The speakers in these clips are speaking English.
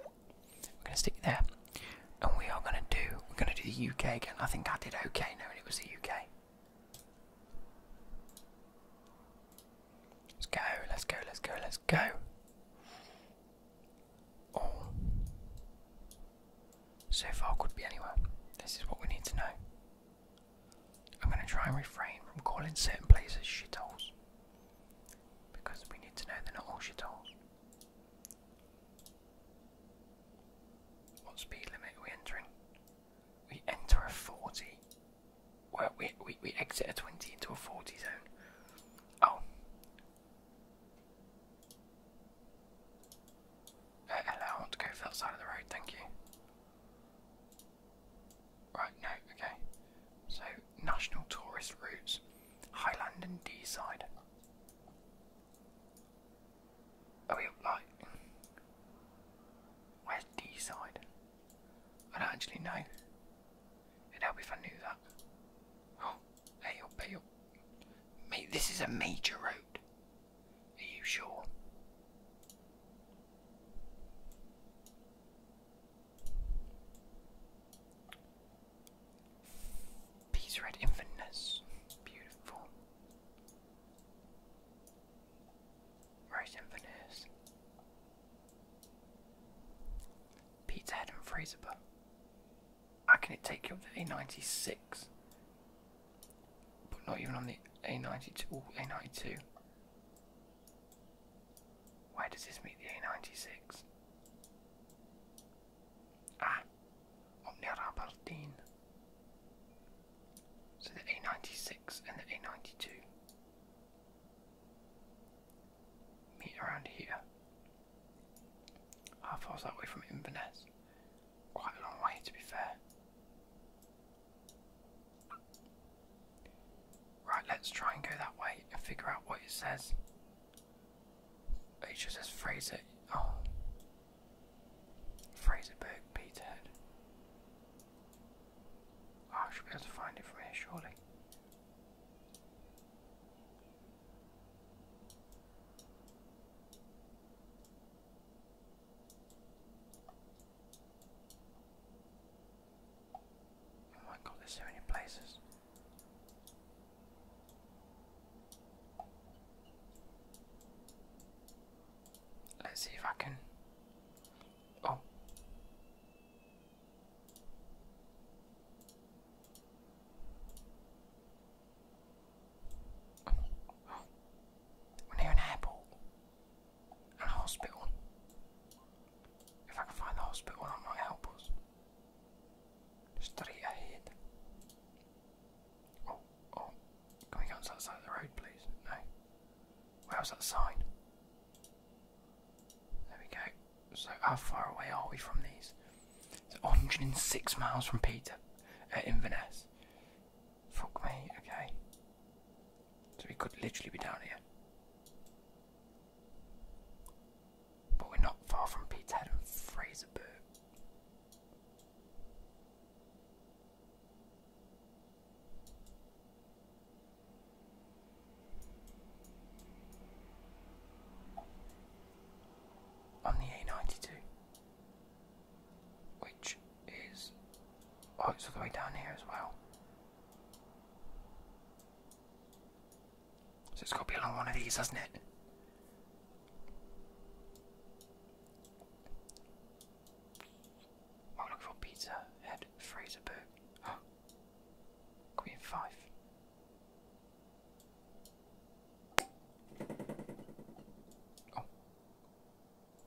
we're gonna stick there, and we are gonna do we're gonna do the UK again. I think I did okay knowing it was the UK. Let's go, let's go, let's go, let's go. Oh. So far could be anywhere. This is what we need to know. I'm gonna try and refrain from calling certain places shitholes. Because we need to know they're not all shitholes. What speed limit are we entering? We enter a 40. Well, we, we, we exit a 20 into a 40 zone. Oh. Uh, hello, I want to go for that side of the road, thank you. Right, no, okay. So, national tourist routes. Highland and D-side. Are we like... Where's D-side? I don't actually know. It'd help if I knew that. Oh, hey up, hey up. Mate, this is a major road. Are you sure? Peace Red Infantness. Beautiful. Rice Infantness. Pizza Head and Fraser How can it take you up to A96? But not even on the A92. A92. Why does this meet the A96? Ah, Omniara Bardeen. So the A96 and the A92 meet around here. How that way from Inverness? Quite a long way to be fair. Right, let's try and go that way and figure out what it says. HSS Fraser. Oh. Fraserburg, Peterhead. Oh, I should be able to find it from here, surely. Oh my god, there's so many places. Let's see if I can. Oh. We're near an airport a hospital. If I can find the hospital, that might help us. Straight ahead. Oh, oh. Can we go on the road, please? No. Where's that sign? There we go. So, how far away are we from these? It's 106 miles from Peter at uh, Inverness. Fuck me, okay. So, we could literally be down here. But we're not far from Peterhead and Fraserburgh. On the A92, which is oh, it's all the way down here as well. So it's got to be along one of these, hasn't it? I'm oh, looking for pizza, head, freezer, boot. Oh, five. Oh,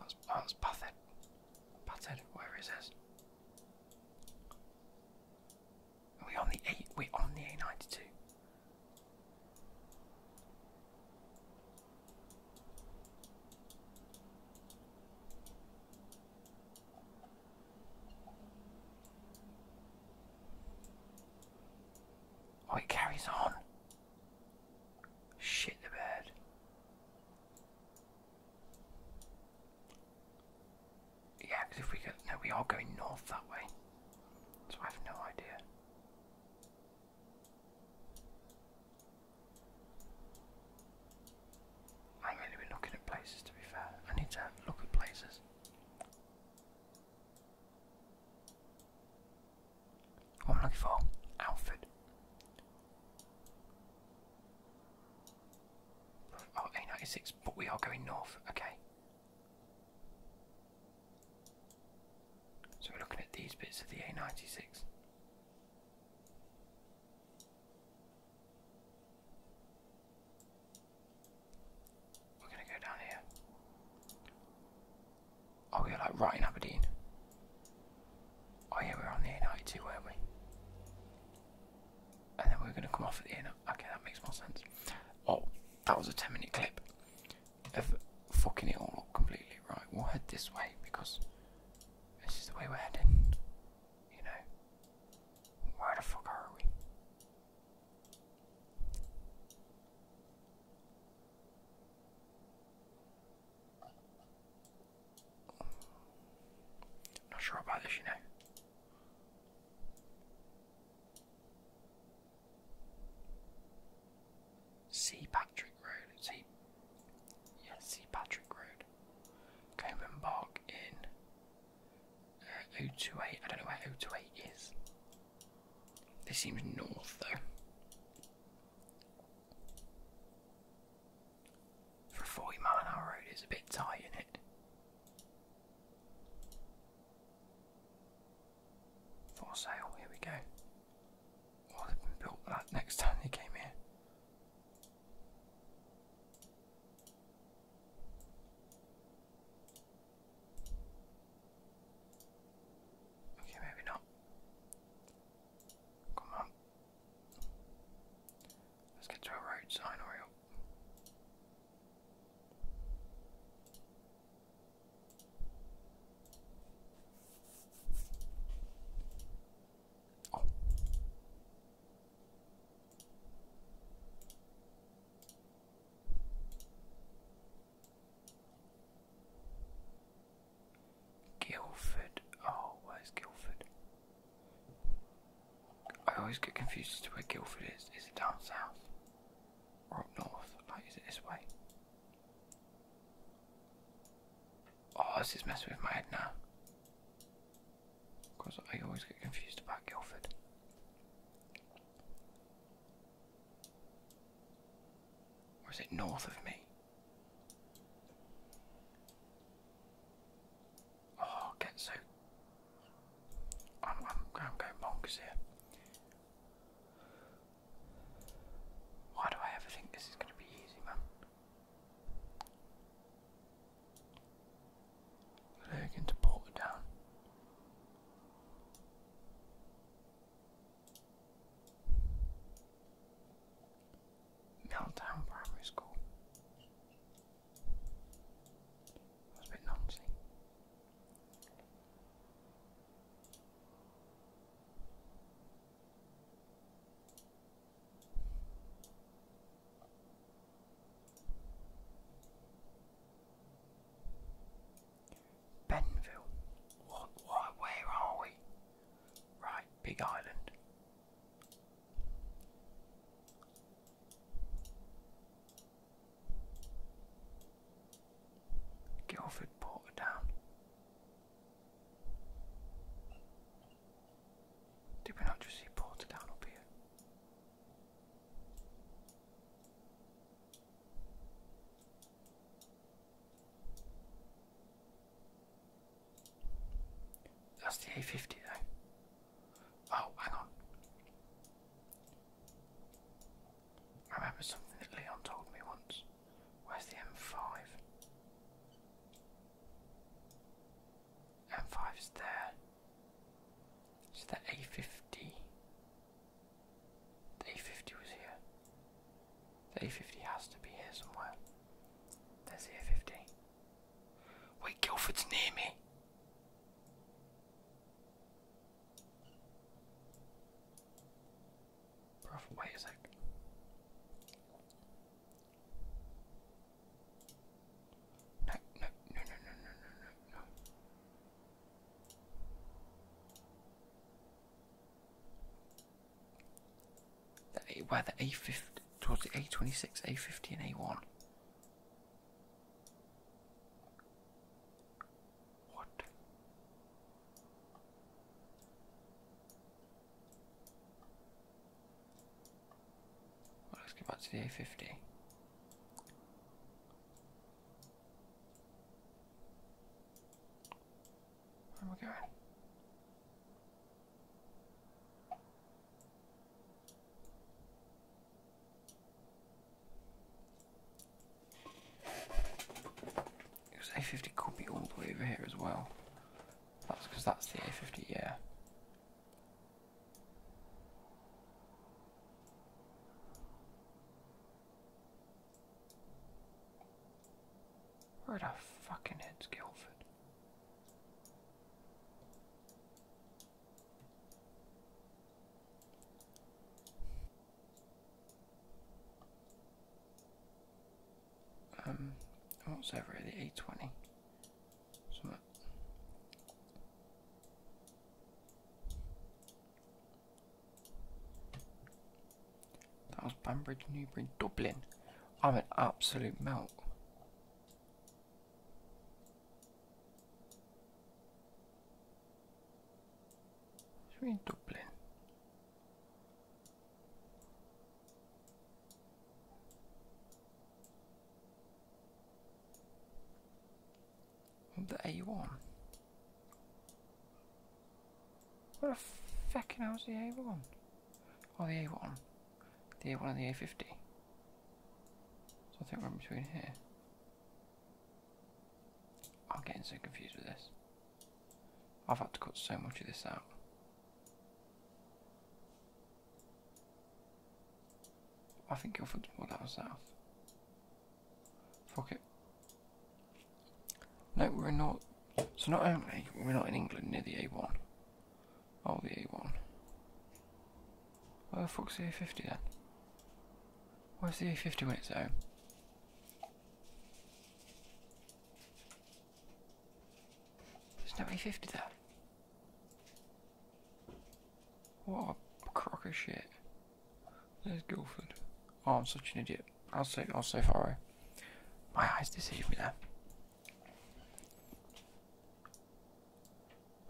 that's oh, that's Pathed. Pathed, whatever it we on the eight. We're on the A92. Oh, it carries on. Shit the bird. Yeah, because if we go, no, we are going north that way. So I have no idea. I'm only been looking at places to be fair. I need to look at places. What am I looking for? Alfred. A96, but we are going north, okay. So we're looking at these bits of the A96. We're going to go down here. Oh, we're like right in Aberdeen. Oh yeah, we're on the A92, weren't we? and then we're going to come off at the end. Okay, that makes more sense. Oh, that was a 10 minute clip fucking it all up completely. Right, we'll head this way because this is the way we're heading. You know, where the fuck are we? Not sure about this, you know. C. Patrick Road. See, C. Patrick Road. Coburn Park in uh, 028. I don't know where 028 is. This seems north though. For a 40 mile an hour road, it's a bit tight, in it? 4 sale, here we go. Oh, they been built that next time they came here. Okay, maybe not. Come on. Let's get to a road sign or Guildford. Oh, where's Guildford? I always get confused as to where Guildford is. Is it down south? Or up north? Like, is it this way? Oh, this is messing with my head now. Because I always get confused about Guildford. Or is it north of me? Oh, get so. I'm, I'm, I'm going bonkers here. Why do I ever think this is going to be easy, man? Lurking to Porter down. Meltdown Primary School. Benville. What, what, where are we? Right, Big Island. Guildford Portadown. Did we not just see Portadown up here? That's the A50 though. Oh, hang on. I remember something that Leon told me once. Where's the M5? M5 is there. Is the A50? The A50 was here. The A50 has to be here somewhere. There's the A50. Wait, Guildford's near me. wait a sec. no, no, no, no, no, no, no where the A50, towards the A26, A50 and A1. What? let's get back to the A50. Where am going? Because A50 could be all the way over here as well. That's because that's the A50, yeah. Where the fucking head's it. Um, what was that really? 820? That was Banbridge, Newbury, Dublin. I'm an absolute melt. Is we The A1. What the fucking hell's the A1? Oh, the A1. The A1 and the A50. So I think we're in between here. I'm getting so confused with this. I've had to cut so much of this out. I think Guildford's more down south. Fuck it. No, we're not. So not only we're not in England near the A1, Oh, the A1. Where the fuck's the A50 then? Where's the A50 when it's home? There's no A50 there. What a crock of shit. There's Guildford. Oh, I'm such an idiot. I was so, I was so far away. My eyes deceive me there.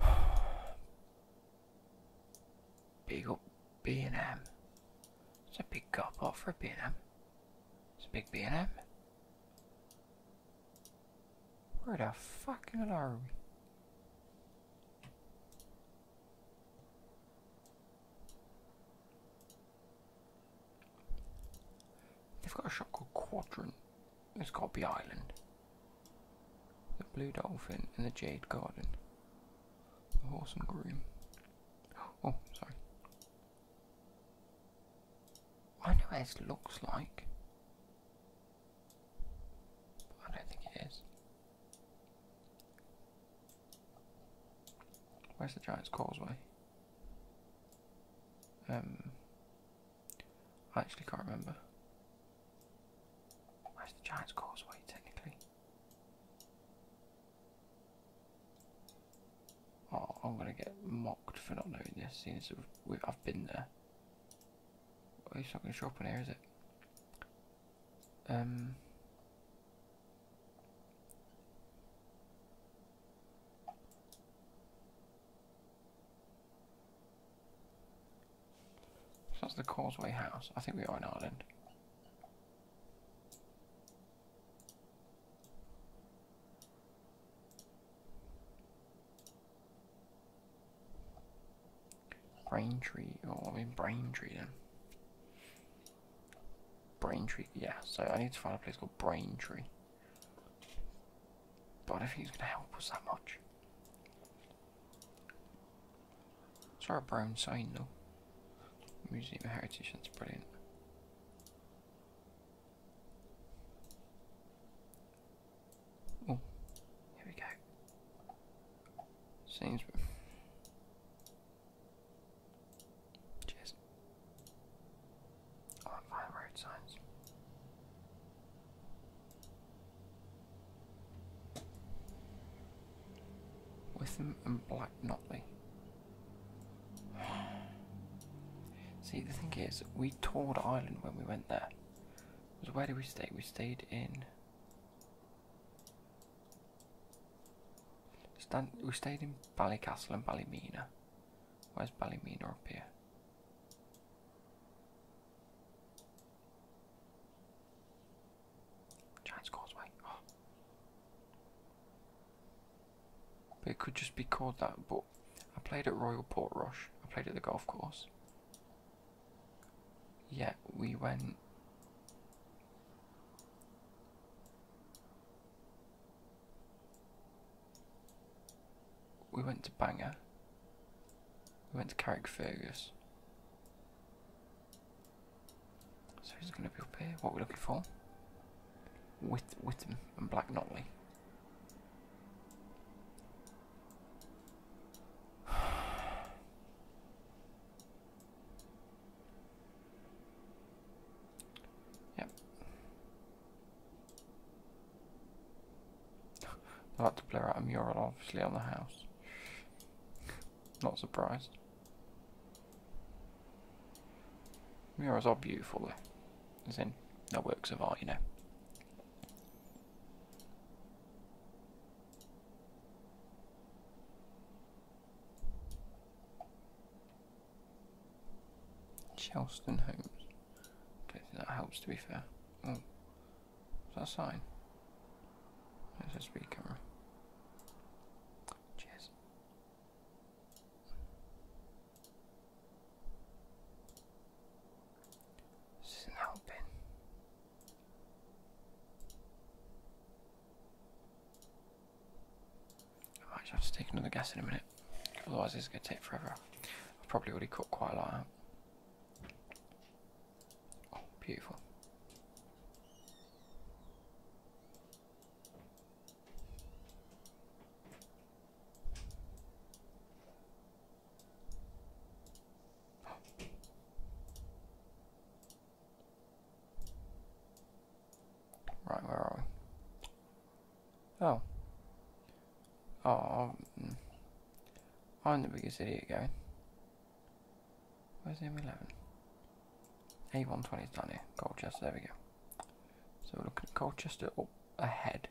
big up B&M. It's a big cop off for B&M. It's a big B&M. Where the fuck are we? They've got a shot called Quadrant. It's got to Island. The Blue Dolphin and the Jade Garden. The Horse and Groom. Oh, sorry. I know what looks like. But I don't think it is. Where's the Giant's Causeway? Um, I actually can't remember. Where's the Giant's Causeway, technically? Oh, I'm gonna get mocked for not knowing this, seeing as I've been there. Well, it's not gonna show up on here, is it? Um, that's the Causeway House. I think we are in Ireland. Brain Tree. oh, I mean Braintree then. Braintree, yeah, so I need to find a place called Brain Tree. But I think he's going to help us that much. it's our brown sign though. Museum of Heritage, that's brilliant. Oh, here we go. Seems. Cheers on five right sides. Witham and Black Notley. See, the thing is, we toured Ireland when we went there. So where did we stay? We stayed in. we stayed in Ballycastle and Ballymena. Where's Ballymena up here? But it could just be called that, but I played at Royal Portrush. I played at the golf course. Yeah, we went we went to Banger. We went to Carrickfergus. So he's going to be up here. What are we looking for? With Whittam and Black Notley. yep. I like to blur out a mural, obviously, on the house. Not surprised. Murals are beautiful, As in, they works of art, you know. Chelston Homes. Okay, that helps to be fair. Oh, that a sign? It says speed camera. Cheers. isn't helping. I might have to take another guess in a minute, otherwise this is going to take forever. I've probably already cut quite a lot out. Oh, beautiful. Right, where are we? Oh. Oh, I'm, um, the biggest idiot going. Where's M11? A120 is down here. Colchester, there we go. So we're looking at Colchester ahead.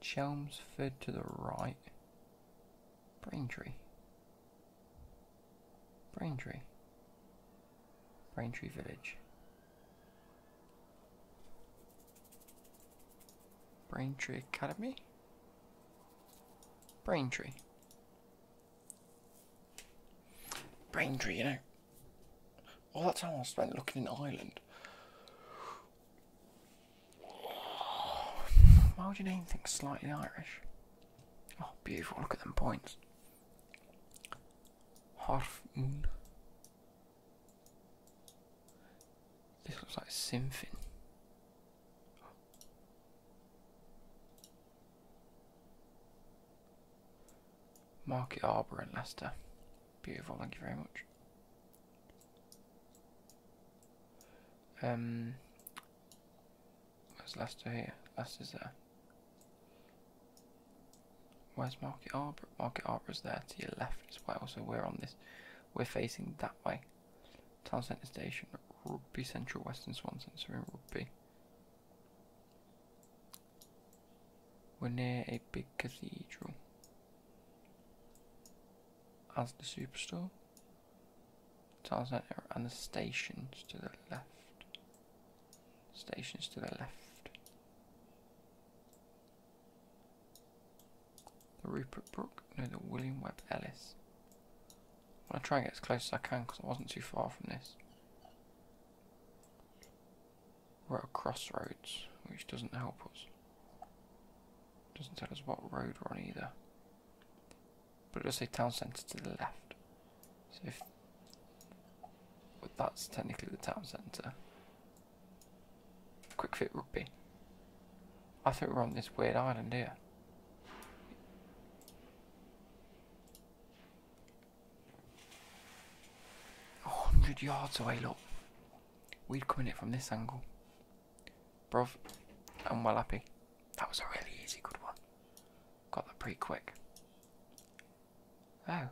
Chelmsford to the right. Braintree. Braintree. Braintree Village. Braintree Academy? Braintree. Braintree, you know. All that time I spent looking in Ireland. Why would you name things slightly Irish? Oh, beautiful, look at them points. Half moon. This looks like something. Market Arbour and Leicester. Beautiful, thank you very much. Um, where's Leicester here? Leicester's there. Where's Market Arbor? Market is there to your left as well, so we're on this. We're facing that way. Town Centre Station, Rugby Central, Western Swan Centre we're in Rugby. We're near a big cathedral. As the superstore, Town Centre, and the stations to the left. Stations to the left. The Rupert Brook? No, the William Webb Ellis. I am going to try and get as close as I can because I wasn't too far from this. We're at a crossroads, which doesn't help us. Doesn't tell us what road we're on either. But it'll say town centre to the left. So if that's technically the town centre. Quick fit rugby. I thought we were on this weird island here. Oh, 100 yards away, look. We'd come in it from this angle. Bruv, I'm well happy. That was a really easy good one. Got that pretty quick. Oh,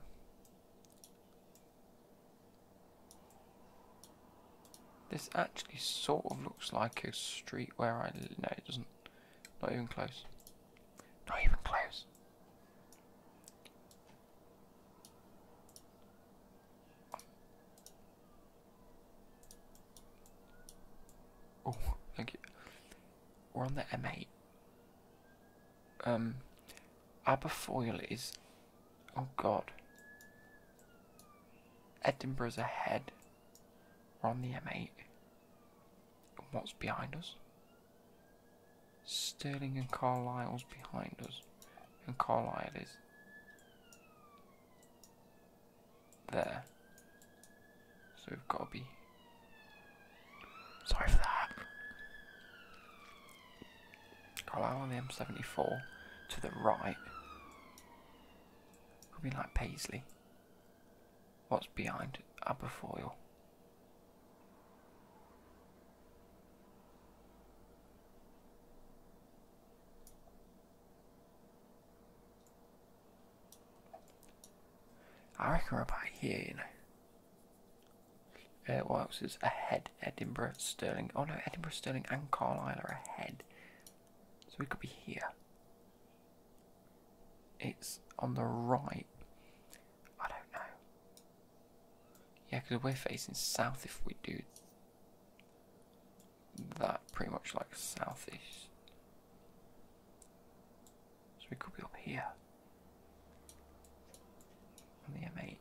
This actually sort of looks like a street where I live. No, it doesn't. Not even close. Not even close. Oh, thank you. We're on the M8 um, Aberfoyle is, oh god, Edinburgh's ahead. We're on the M8. What's behind us? Sterling and Carlisle's behind us, and Carlisle is there. So we've got to be sorry for that. i allow on the M74 to the right. Could be like Paisley. What's behind Aberfoyle? I reckon we're about here, you know. Uh, what else is ahead? Edinburgh, Sterling. Oh no, Edinburgh, Sterling, and Carlisle are ahead. So we could be here. It's on the right. I don't know. Yeah, because we're facing south if we do that. Pretty much like southish. So we could be up here. On the M8.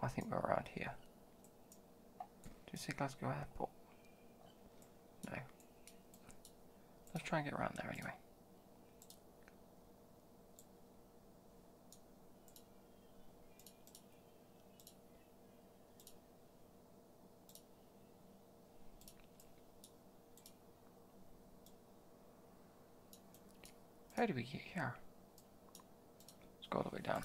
I think we're around here. Do you see Glasgow Airport? No. Let's try and get around there anyway. How do we get here? Let's go all the way down.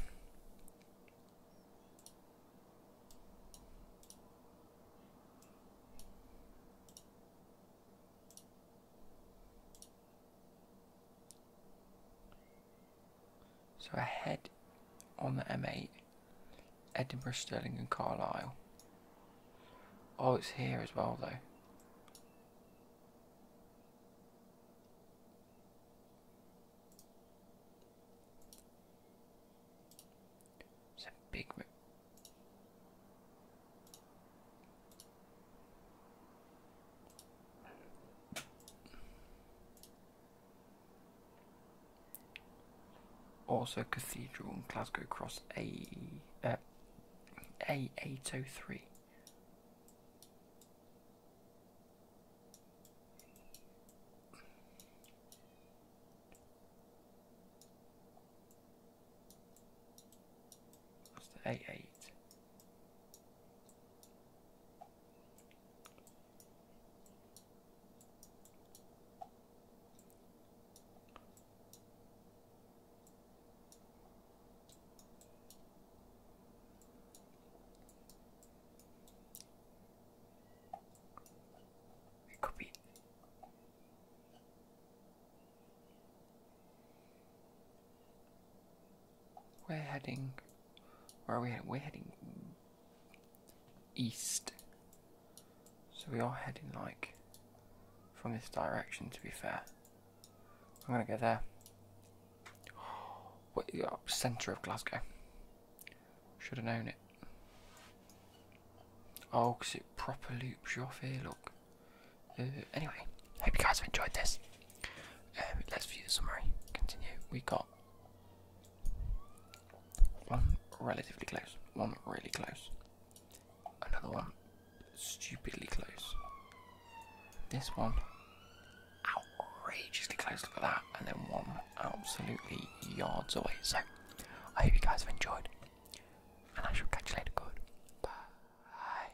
So ahead on the M8, Edinburgh, Stirling and Carlisle. Oh, it's here as well though. It's a big also Cathedral and Glasgow Cross A uh, A eight oh three. That's the A eight. Copy. We're heading. Where are we We're heading east. So we are heading like from this direction to be fair. I'm gonna go there. What the oh, centre of Glasgow. Should have known it. Oh, because it proper loops you off here, look. Uh, anyway, hope you guys have enjoyed this. Um, let's view the summary. Continue. We got one relatively close, one really close, another one stupidly close. This one outrageously close. Look at that, and then one absolutely yards away. So I hope you guys have enjoyed, and I shall catch you later. Good. Bye.